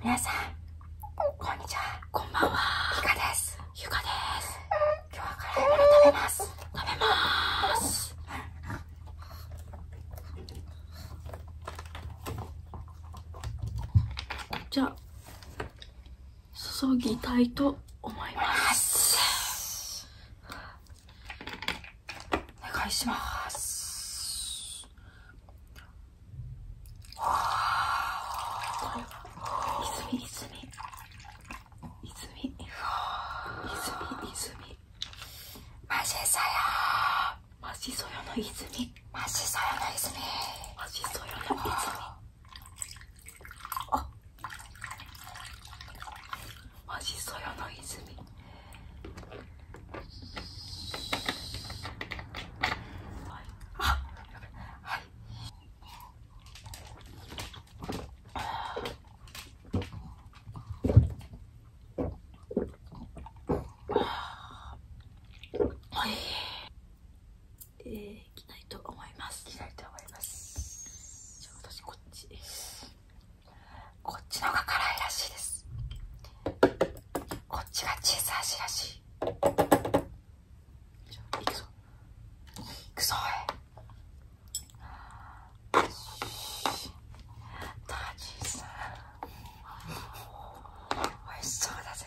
皆さんこんちはこんばんはゆかですゆかです今日はカレーラ食べます食べますじゃあ注ぎたいと思いますお願いします泉泉泉泉泉マジソヨマジソヨの泉マジソヨの泉マジソヨの泉あマジそよの泉はいあやべはいはいえー、着ないと思います着ないと思いますこっちこっちのが辛いらしいですこっちがチーズ味らしいいくぞくぞおいチーズおいしそうだぜ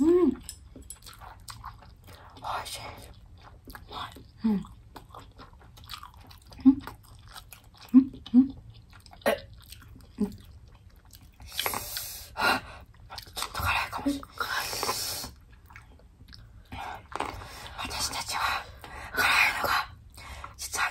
うん。美味しいです。うん。私たちは辛いのが実は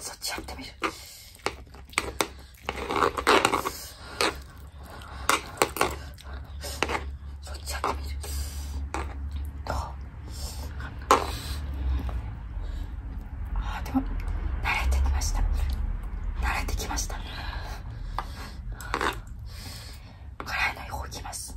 そっちやってみるそっちやってみるどあでも慣れてきました慣れてきました辛いのいこきます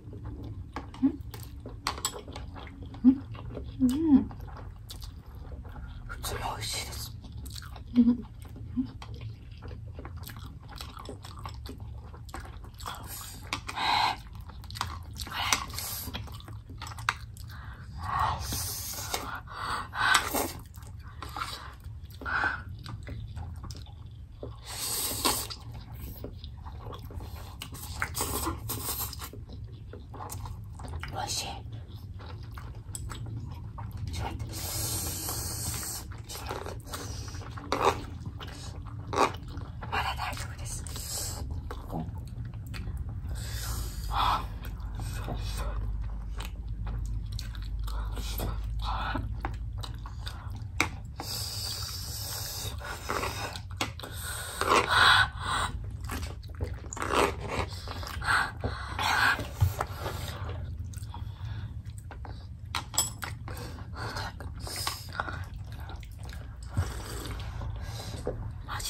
うん普通に美味しいです、うん、もしまだ大丈夫です、私、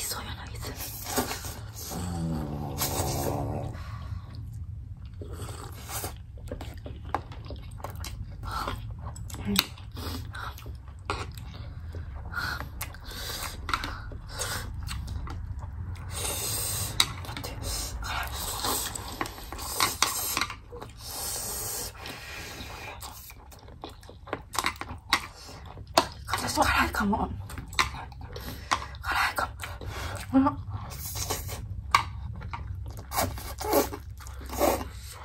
そういうのを言って。辛いかも。辛いかも。うん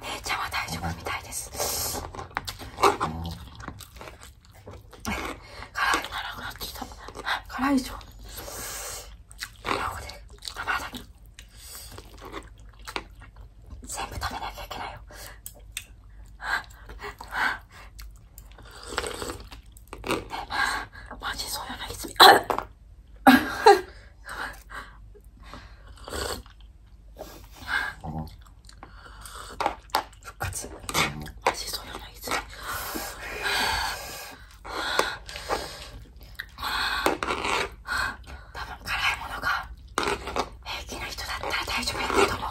姉ちゃんは大丈夫みたいです。辛いがなくなってきた。辛いでしょ。全部食べなきゃいけないよ。マジそうよな、泉。復活。マジそうよな、泉。多分辛いものが平気な人だったら大丈夫やと思う。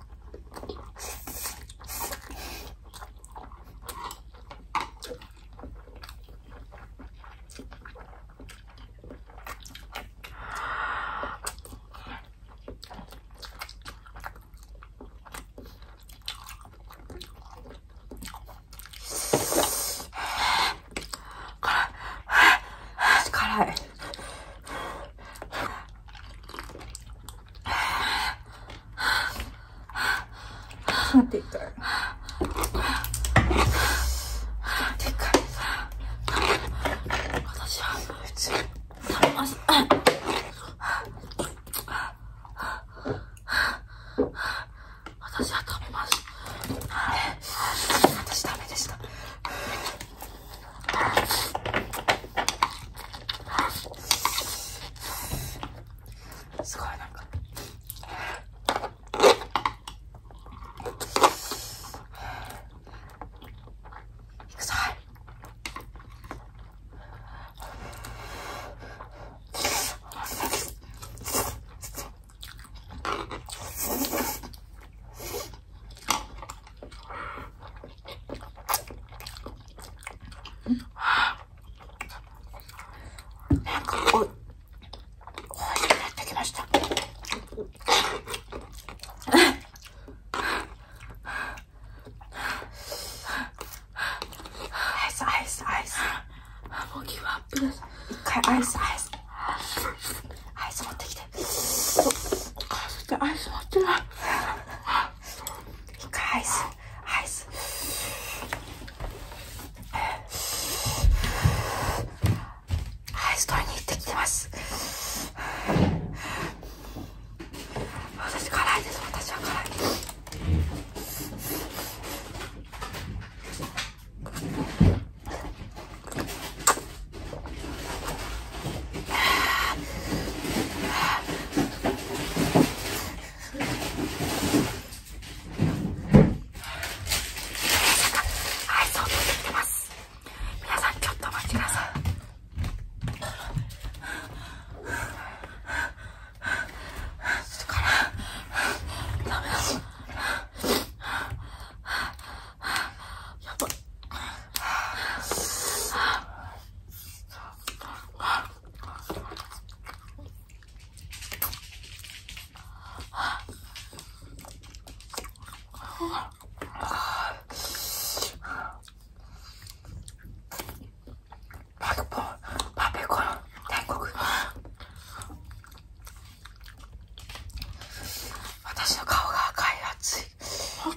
辛い持っていくってい私は普通に食べます私は食べます私ダメでしたすごいなんかいくぞなんかこう、こうしくなってアイス、アイス、アイス。アイス持ってきて。きてあそしてアイス持ってないアイスアイスアイス取りに行ってきてます私辛いです私は辛いですやばっ私の顔が赤い暑い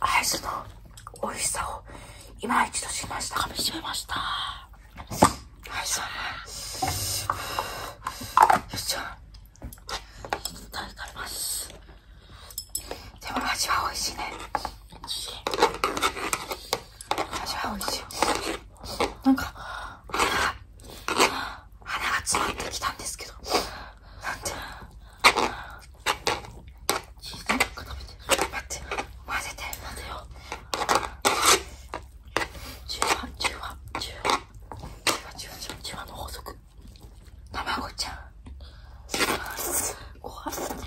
アイスの美味しさを今一度しました噛みしめいししたでも味は美味しいね味は美味しい。なんか、鼻が詰まってきたんですけど、なんて。チーズなんか食べて。って、混ぜて、混ぜよう。中和、中和、中和。中和、中の法則。卵ちゃん。ご飯。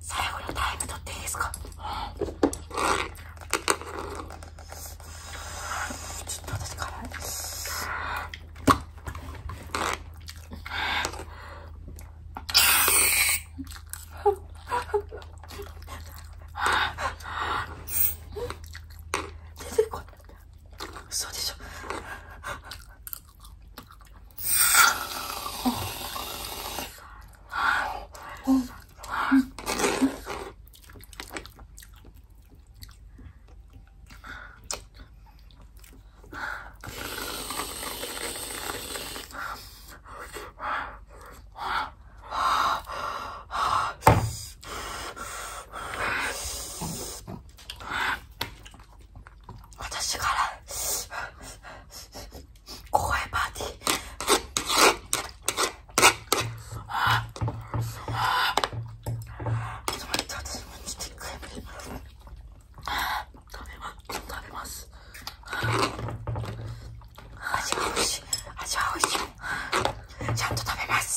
最後のタイム取っていいですか、ちょっと私辛い出てこない嘘でしょ私から公開パーティー。ああちょっと待って、私もちょっと一回食べます。食べます。味は美味しい。味は美味しい。ちゃんと食べます。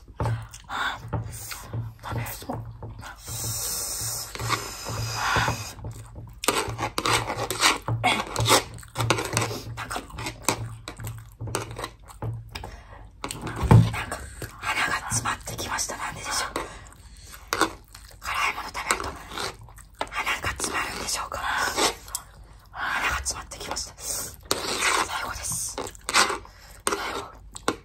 食べそうなんかなんか鼻が詰まってきましたなんででしょう辛いもの食べると鼻が詰まるんでしょうか鼻が詰まってきました最後です最後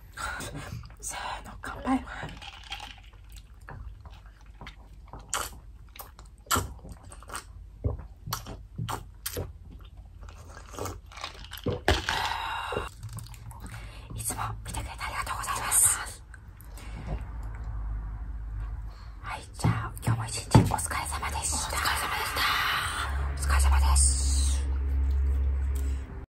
せ ーの乾杯いつも見てくれてありがとうございますはいじゃあ今日も一日お疲れ様でしたお疲れ様でしたお疲れ様です